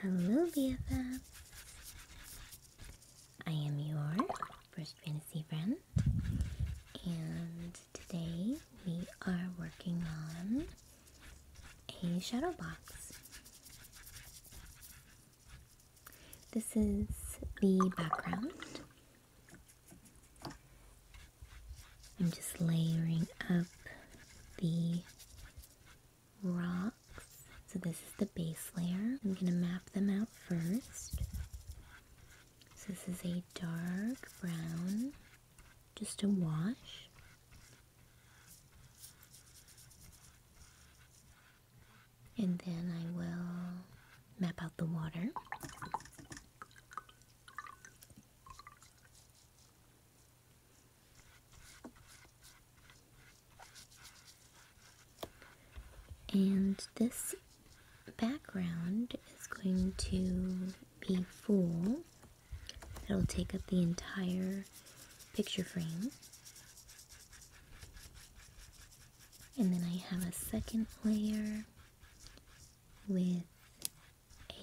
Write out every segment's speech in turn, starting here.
Hello, BFF. I am your first fantasy friend, and today we are working on a shadow box. This is the background, I'm just layering up the rocks. So this is the base layer. I'm going to map them out first. So this is a dark brown, just a wash. And then I will map out the water. And this background is going to be full. It'll take up the entire picture frame. And then I have a second layer with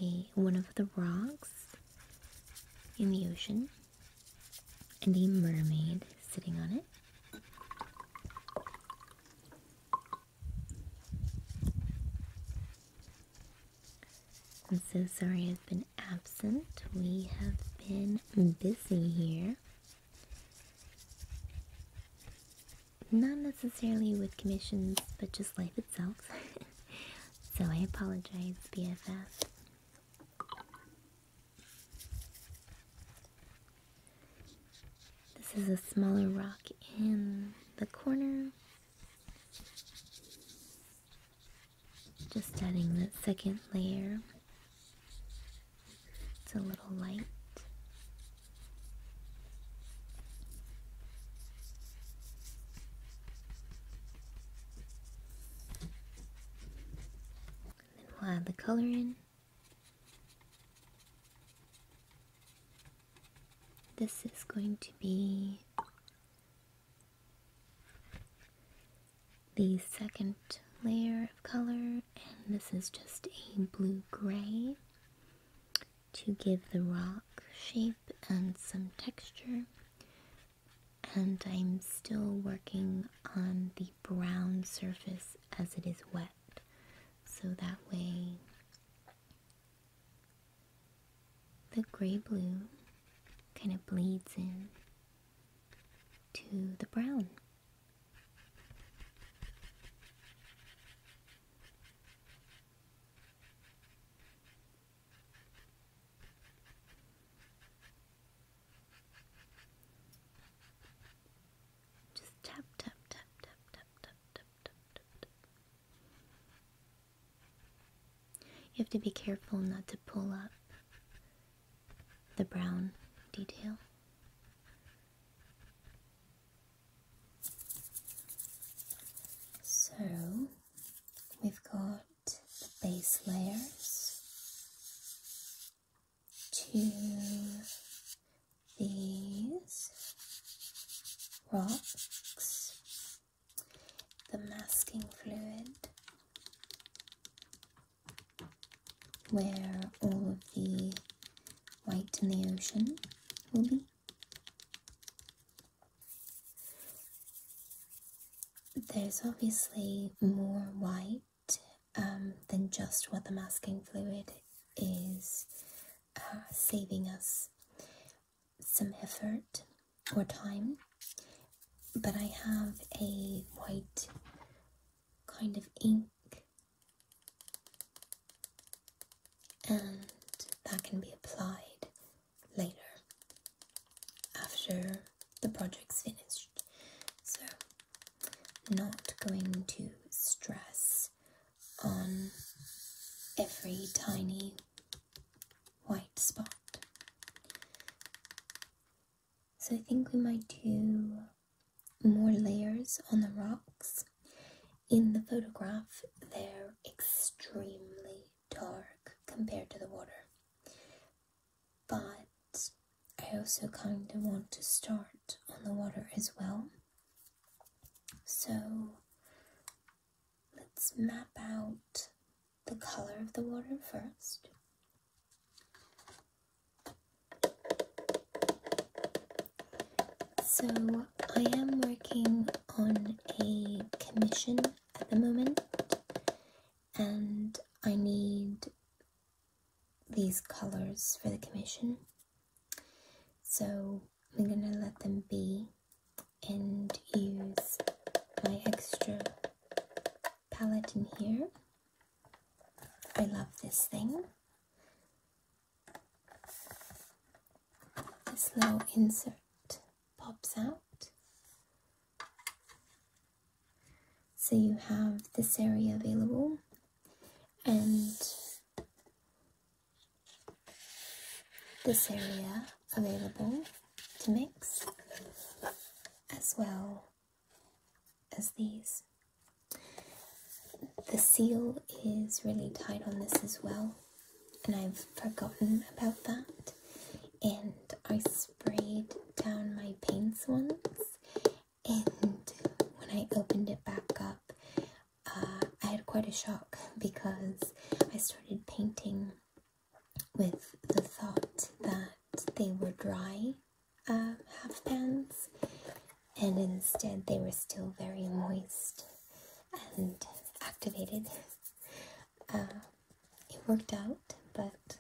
a one of the rocks in the ocean and a mermaid sitting on it. I'm so sorry I've been absent. We have been busy here. Not necessarily with commissions, but just life so I apologize, BFF. This is a smaller rock in the corner. Just adding that second layer. It's a little light then we'll add the color in. This is going to be the second layer of color and this is just a blue gray to give the rock shape and some texture. And I'm still working on the brown surface as it is wet. So that way the gray blue kind of bleeds in to the brown. Just tap, tap, tap, tap, tap, tap, tap, tap, tap, You have to be careful not to pull up the brown detail. So we've got the base layers to these rocks, the masking fluid where all of the white in the ocean will be. There's obviously more white um, than just what the masking fluid is uh, saving us some effort or time. But I have a white kind of ink and that can be applied later after the project's finished. So, not going to stress on every tiny white spot. So, I think we might do more layers on the rocks. In the photograph, they're extremely dark compared to the water. But I also kind of want to start on the water as well. So let's map out the color of the water first. So I am working on a commission at the moment, and I need these colors for the commission. So I'm gonna let them be and use my extra palette in here. I love this thing. This little insert pops out so you have this area available and this area available to mix as well as these. The seal is really tight on this as well and I've forgotten about that and I sprayed down my paints once and when I opened it back up uh, I had quite a shock because I started painting with the thought that they were dry uh, half pans and instead they were still very moist and activated. Uh, it worked out, but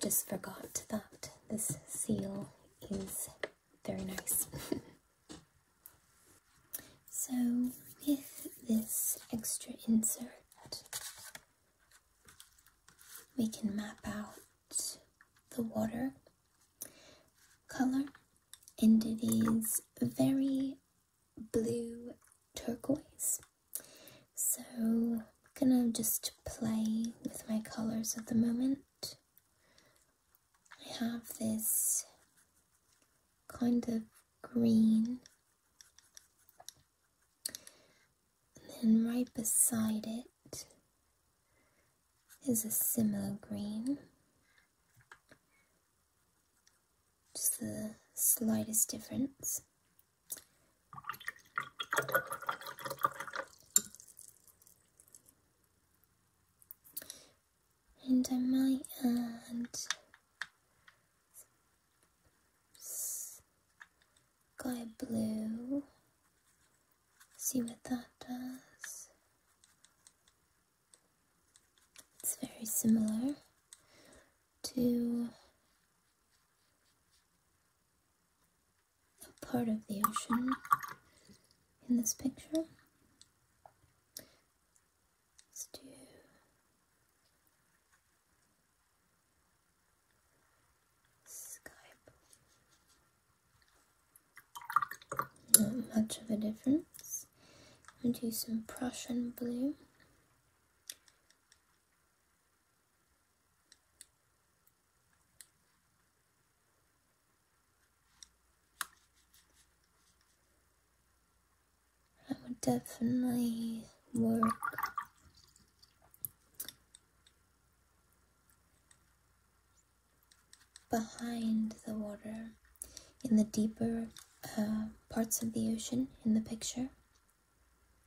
just forgot that this seal is very nice. so, with this extra insert, we can map out the water color, and it is very blue turquoise. So I'm gonna just play with my colors at the moment. I have this kind of green and then right beside it is a similar green. Just the slightest difference. And I might add sky blue, see what that does. It's very similar to a part of the ocean in this picture. Let's do Skype. Not much of a difference. I'm going to use some Prussian blue. I would definitely work behind the water in the deeper uh, parts of the ocean in the picture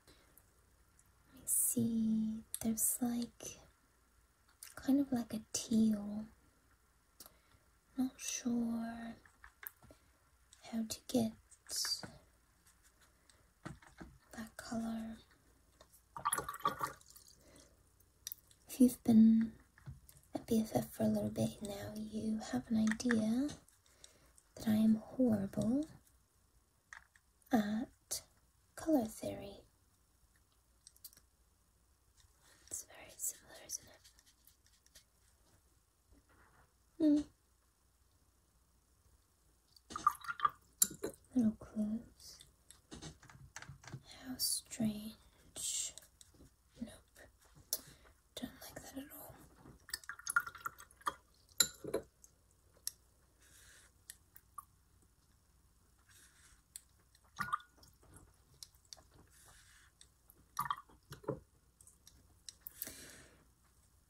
let I see there's like kind of like a teal. Not sure how to get that color. If you've been a BFF for a little bit now, you have an idea that I am horrible at color theory. It's very similar, isn't it? Hmm. Little clues. How strange. Nope. Don't like that at all.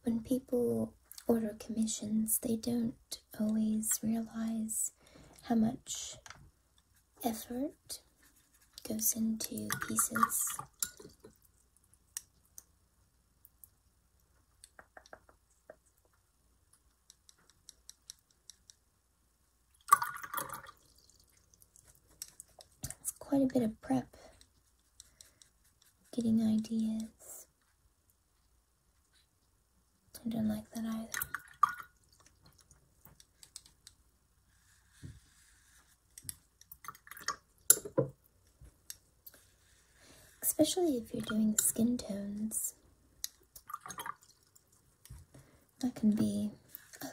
When people order commissions, they don't always realize how much effort goes into pieces it's quite a bit of prep, getting ideas. I don't like that either. Especially if you're doing skin tones. That can be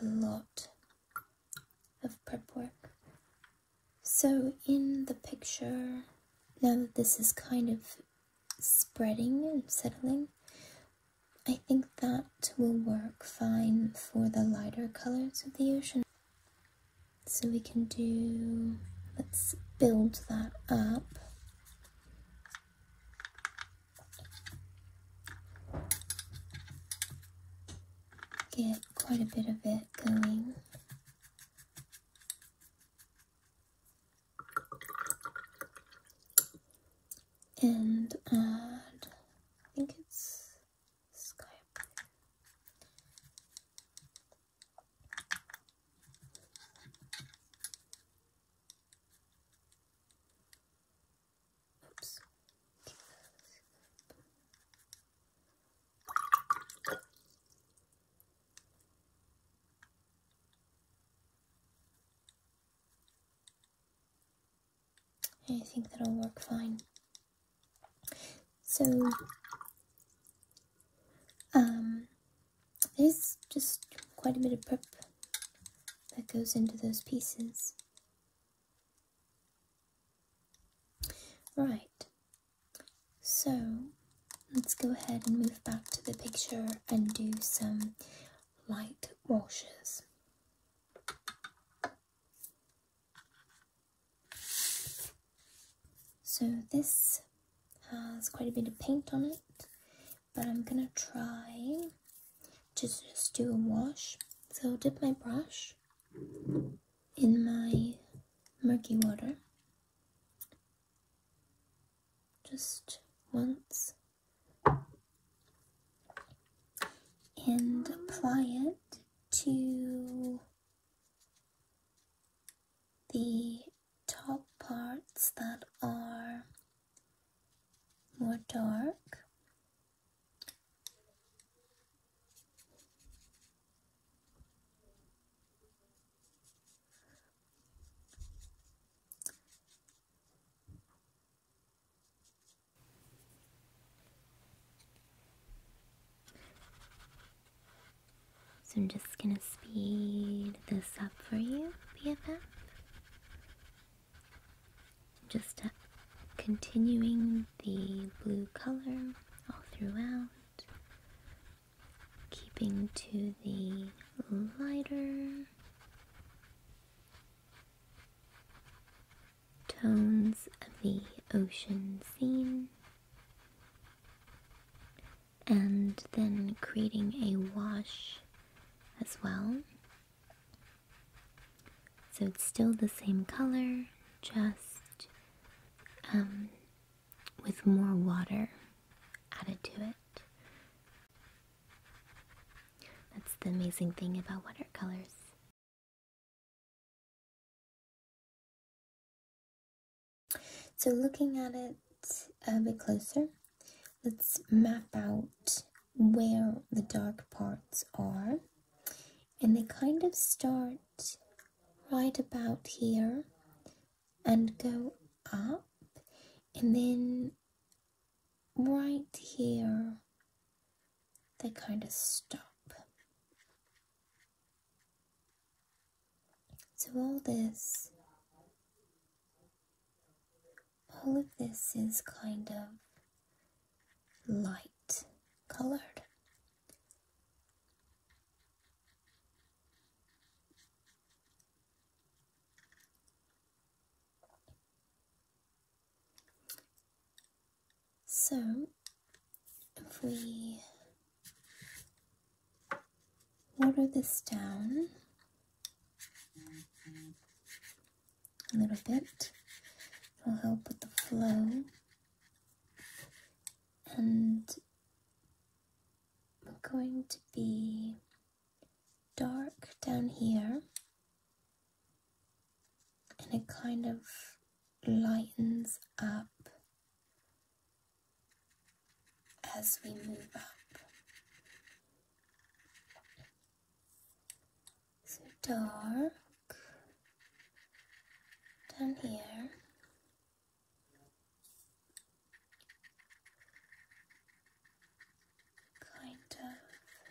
a lot of prep work. So in the picture, now that this is kind of spreading and settling, I think that will work fine for the lighter colors of the ocean. So we can do, let's build that up. Get quite a bit of it going. And add, I think it's sky blue. I think that'll work fine. So, um, there's just quite a bit of prep that goes into those pieces. Right, so let's go ahead and move back to the picture and do some light washes. So this has quite a bit of paint on it, but I'm gonna try to just do a wash. So I'll dip my brush in my murky water just once and apply it to the top parts that are more dark so I'm just gonna speed this up for you, BFF. Just uh, continuing the blue color all throughout, keeping to the lighter tones of the ocean scene and then creating a wash as well. So it's still the same color, just um, with more water added to it. That's the amazing thing about watercolors. So looking at it a bit closer, let's map out where the dark parts are. And they kind of start right about here and go up and then right here they kind of stop so all this, all of this is kind of light colored. So if we water this down a little bit, it'll help with the flow and we're going to be dark down here and it kind of lightens up as we move up. So dark down here. Kind of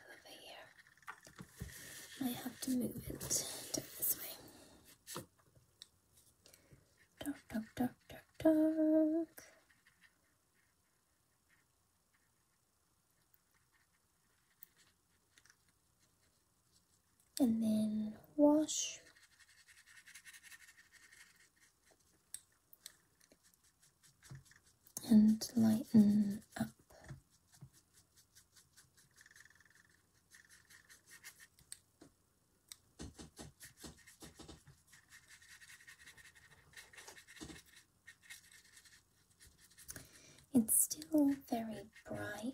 over here. I have to move it this way. Dark, dark, dark, dark, dark. And then wash. And lighten up. It's still very bright.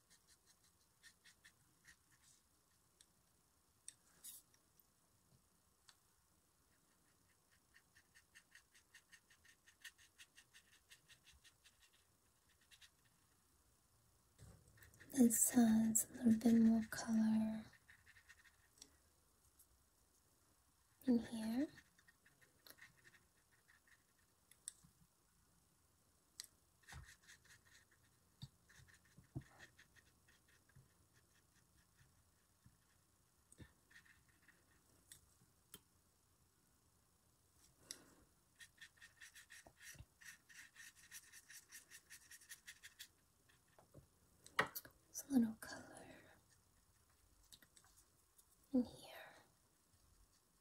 This has a little bit more color in here. It's a little color in here.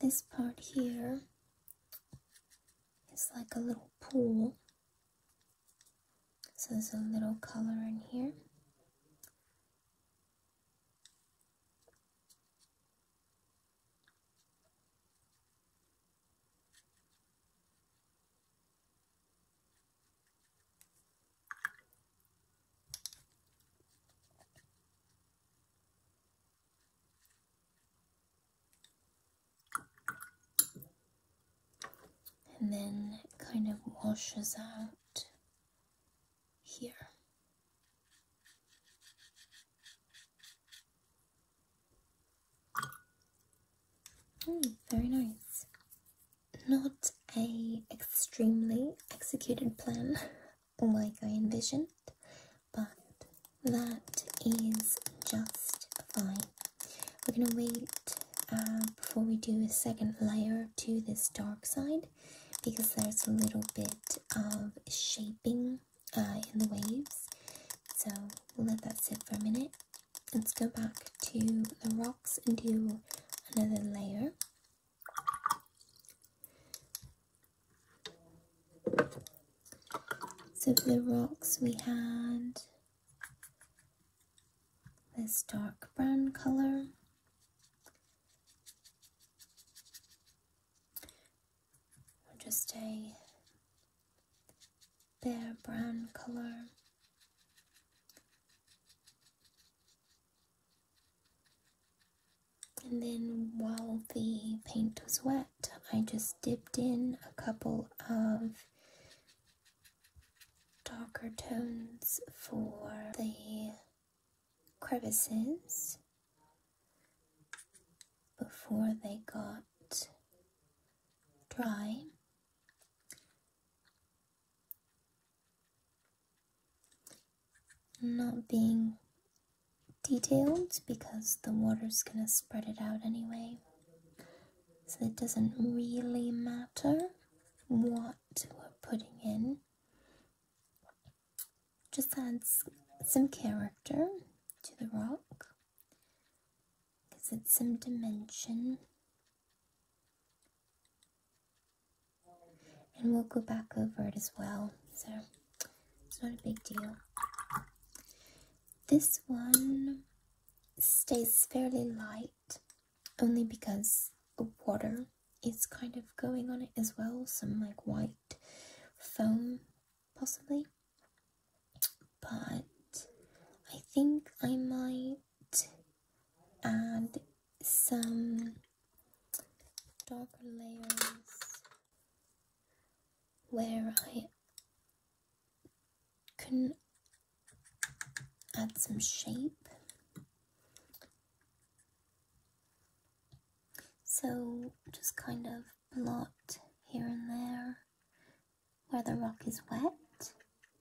This part here is like a little pool. So there's a little color in here and then kind of washes out here. Mm, very nice. Not a extremely executed plan, like oh I envisioned, but that is just fine. We're gonna wait uh, before we do a second layer to this dark side because there's a little bit of shaping uh, in the waves. So we'll let that sit for a minute. Let's go back to the rocks and do another layer. So for the rocks we had this dark brown colour. Or just a bare brown colour. And then while the paint was wet, I just dipped in a couple of darker tones for the crevices before they got dry not being detailed because the water's gonna spread it out anyway. So it doesn't really matter what we're putting in. Just add some character to the rock gives it some dimension and we'll go back over it as well. So it's not a big deal. This one stays fairly light only because water is kind of going on it as well, some like white foam possibly. But I think I might add some darker layers where I can add some shape. So just kind of blot here and there where the rock is wet,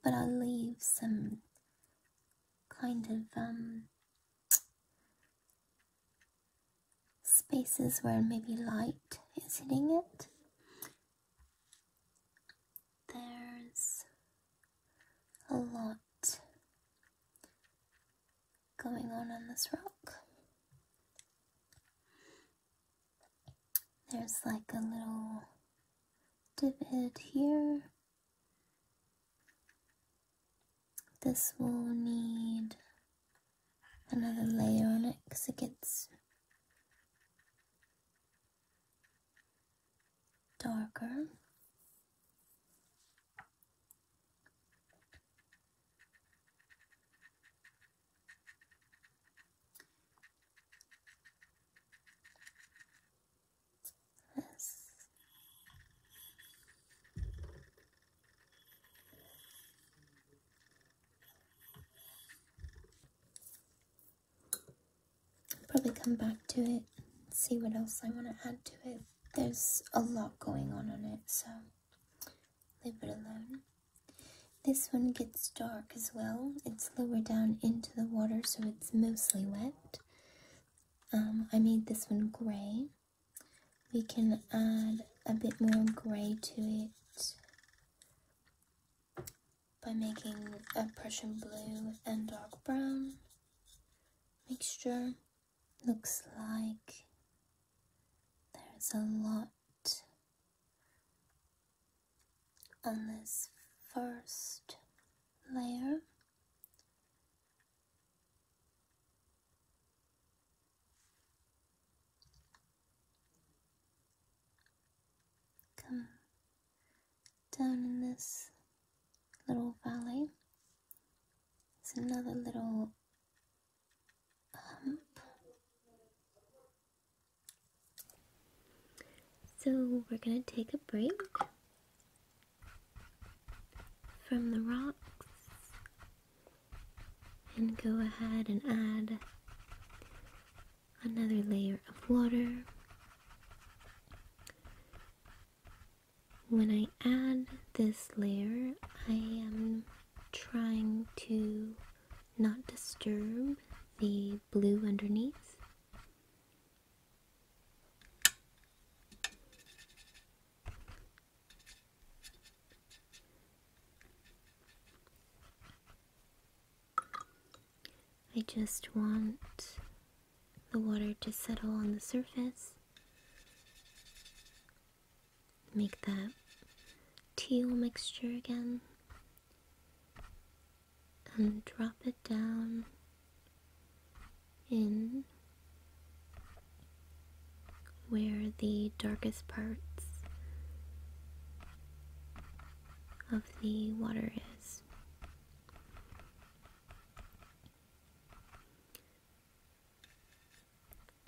but I'll leave some kind of um, spaces where maybe light is hitting it. There's a lot going on on this rock. There's like a little divot here. This will need another layer on it because it gets darker. This. Probably come back to it, see what else I want to add to it. There's a lot going on on it, so leave it alone. This one gets dark as well. It's lower down into the water, so it's mostly wet. Um, I made this one gray we can add a bit more grey to it by making a Prussian blue and dark brown mixture. Looks like there's a lot on this first layer Come down in this little valley. It's another little hump. So we're going to take a break from the rocks and go ahead and add another layer of water. When I add this layer, I am trying to not disturb the blue underneath. I just want the water to settle on the surface. Make that teal mixture again. And drop it down in where the darkest parts of the water is.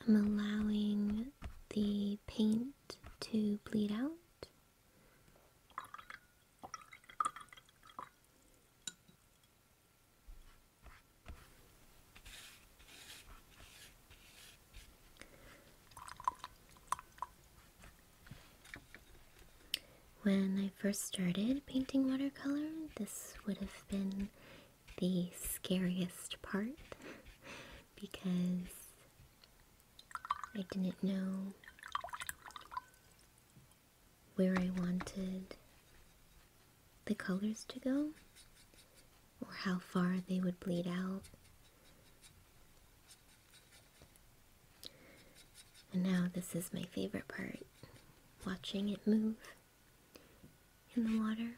I'm allowing the paint to bleed out. When I first started painting watercolor, this would have been the scariest part because I didn't know where I wanted the colors to go or how far they would bleed out. And now this is my favorite part, watching it move in the water.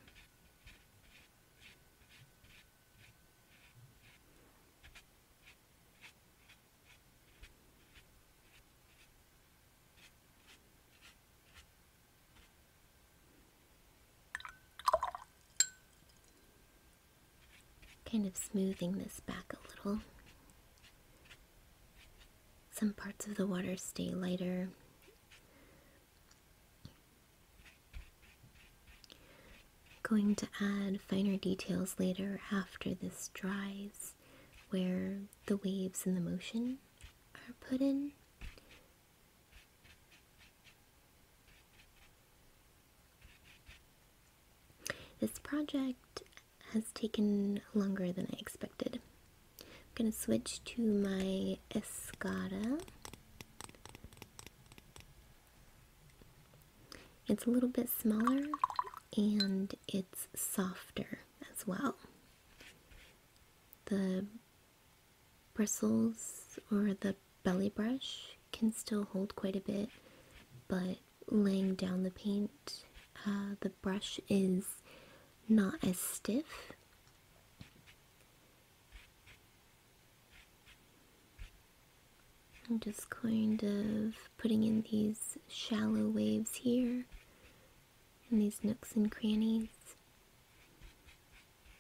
Kind of smoothing this back a little. Some parts of the water stay lighter. Going to add finer details later after this dries where the waves and the motion are put in. This project has taken longer than I expected. I'm going to switch to my Escada. It's a little bit smaller and it's softer as well. The bristles or the belly brush can still hold quite a bit, but laying down the paint, uh, the brush is not as stiff. I'm just kind of putting in these shallow waves here in these nooks and crannies.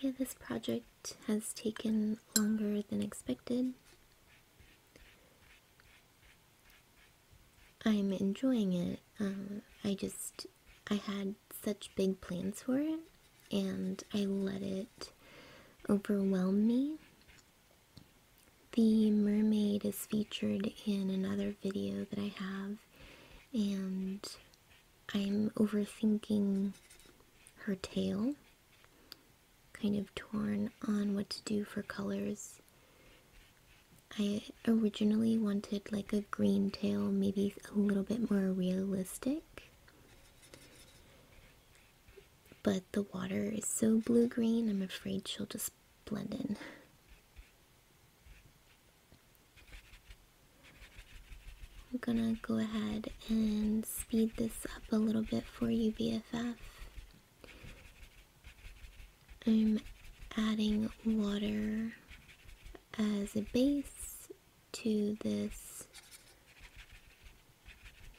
Yeah, this project has taken longer than expected. I'm enjoying it. Um, I just, I had such big plans for it, and I let it overwhelm me. The mermaid is featured in another video that I have, and I'm overthinking her tail kind of torn on what to do for colors. I originally wanted like a green tail, maybe a little bit more realistic. But the water is so blue-green, I'm afraid she'll just blend in. I'm gonna go ahead and speed this up a little bit for you, BFF. I'm adding water as a base to this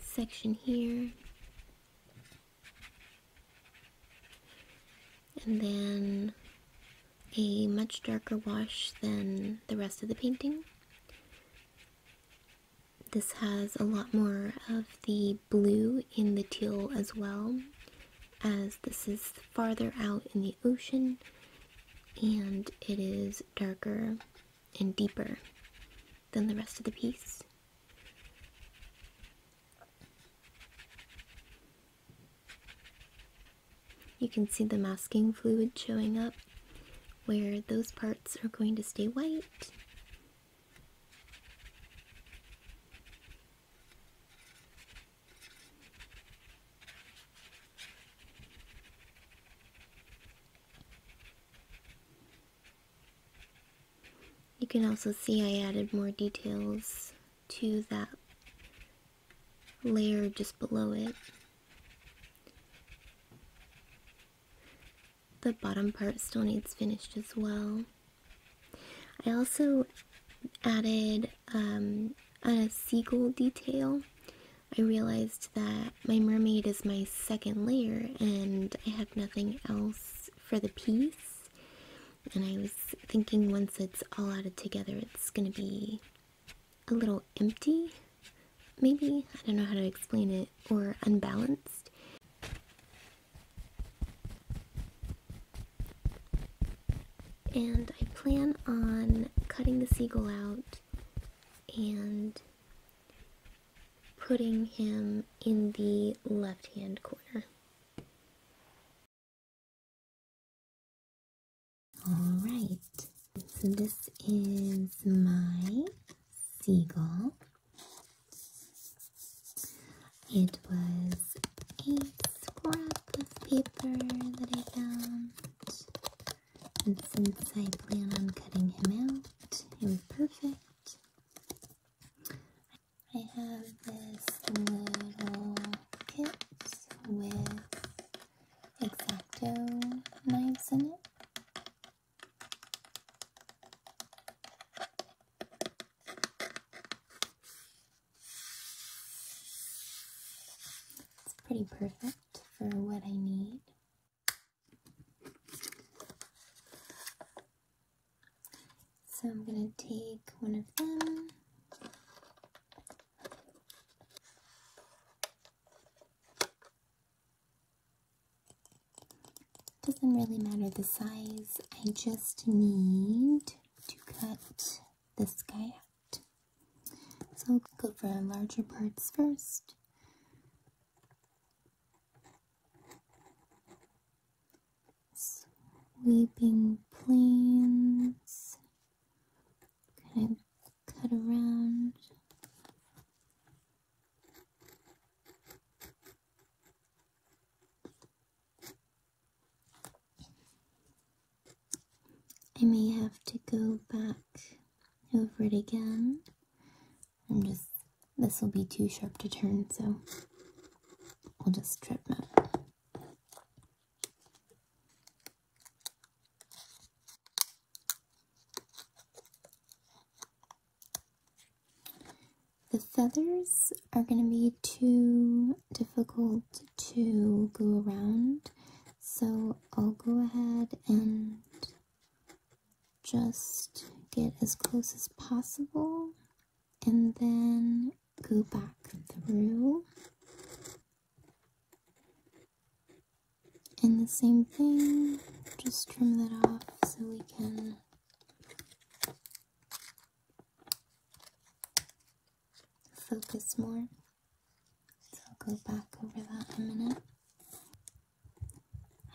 section here. And then a much darker wash than the rest of the painting. This has a lot more of the blue in the teal as well, as this is farther out in the ocean and it is darker and deeper than the rest of the piece. You can see the masking fluid showing up where those parts are going to stay white. You can also see I added more details to that layer just below it the bottom part still needs finished as well. I also added um, a seagull detail. I realized that my mermaid is my second layer and I have nothing else for the piece. And I was thinking once it's all added together, it's going to be a little empty maybe, I don't know how to explain it, or unbalanced. And I plan on cutting the seagull out and putting him in the left-hand corner. Alright, so this is my Seagull. It was a scrap of paper that I found. And since I plan on cutting him out, it was perfect. I have this little kit with Exacto knives in it. It's pretty perfect for what I need. So I'm going to take one of them. Doesn't really matter the size, I just need to cut this guy out. So I'll go for the larger parts first. Sweeping planes, kind of cut around. I may have to go back over it again. I'm just, this will be too sharp to turn, so we'll just strip it. The feathers are going to be too difficult to go around, so I'll go ahead and just get as close as possible and then go back through and the same thing, just trim that off so we can focus more. So I'll go back over that in a minute.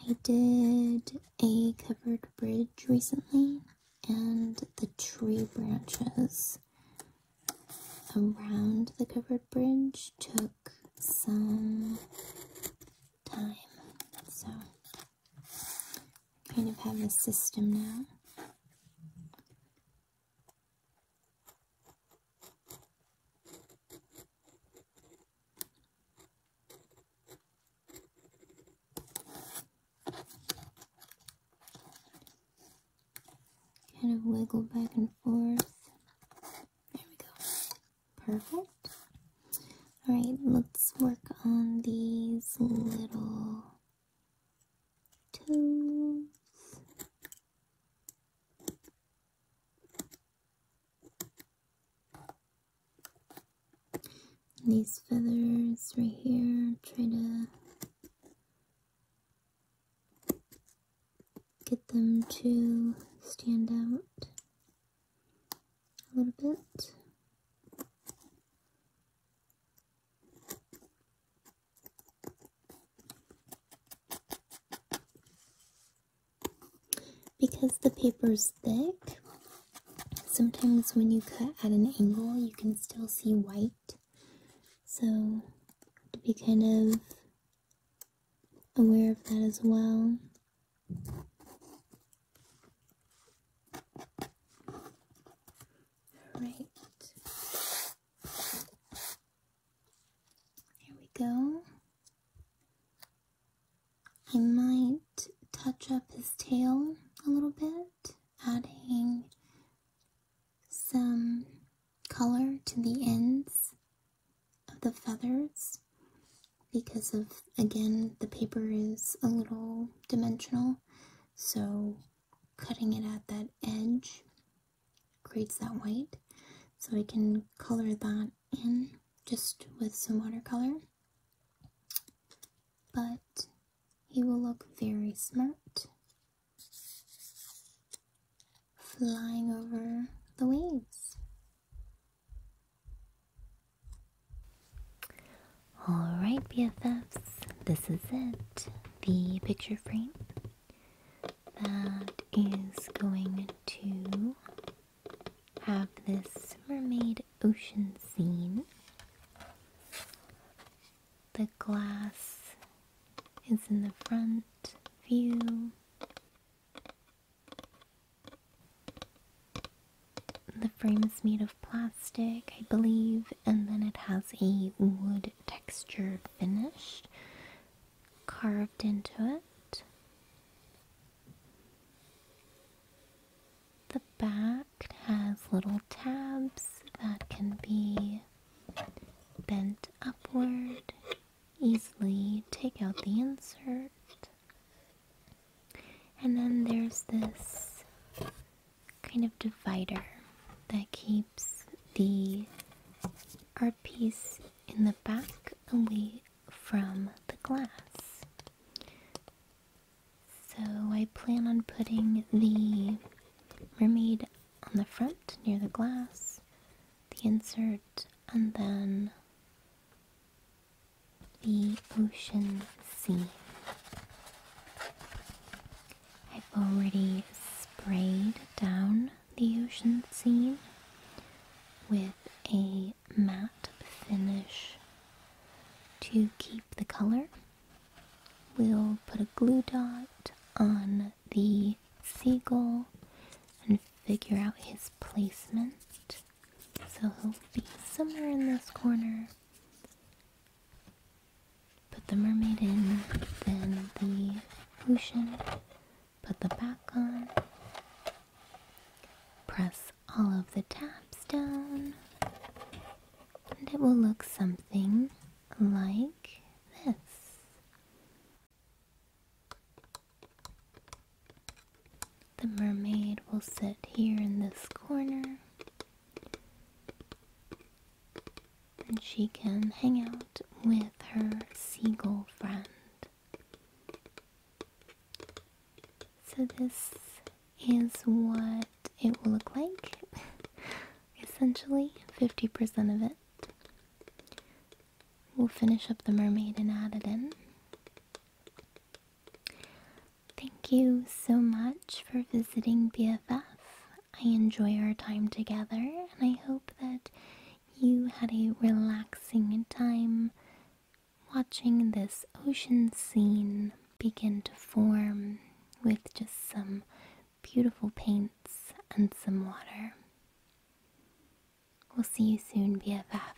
I did a covered bridge recently and the tree branches around the covered bridge took some time. So kind of have a system now. Kind of wiggle back and forth. There we go. Perfect. All right, let's work on these little toes. These feathers right here, try to get them to stand out a little bit. Because the paper is thick, sometimes when you cut at an angle, you can still see white. So, to be kind of aware of that as well. Alright. Here we go. I might touch up his tail a little bit, adding some color to the ends of the feathers because of, again, the paper is a little dimensional, so cutting it at that edge creates that white. So I can color that in just with some watercolor. But he will look very smart flying over the waves. Alright, BFFs, this is it. The picture frame that is going to have this mermaid ocean scene. The glass is in the front view. The frame is made of plastic, I believe, and then it has a wood texture finish carved into it. The back has little tabs that can be bent upward, easily take out the insert. And then there's this kind of divider that keeps the art piece in the back away from the glass. So I plan on putting the mermaid on the front near the glass, the insert, and then the ocean scene. I've already sprayed down the ocean scene with a matte finish to keep the color. We'll put a glue dot on the seagull and figure out his placement. So he'll be somewhere in this corner. Put the mermaid in, then the ocean. Put the back on. Press all of the tabs down. And it will look something like this. The mermaid will sit here in this corner and she can hang out with her seagull friend. So, this is what it will look like essentially 50% of it. We'll finish up the mermaid and add it in. Thank you so much for visiting BFF. I enjoy our time together and I hope that you had a relaxing time watching this ocean scene begin to form with just some beautiful paints and some water. We'll see you soon, BFF.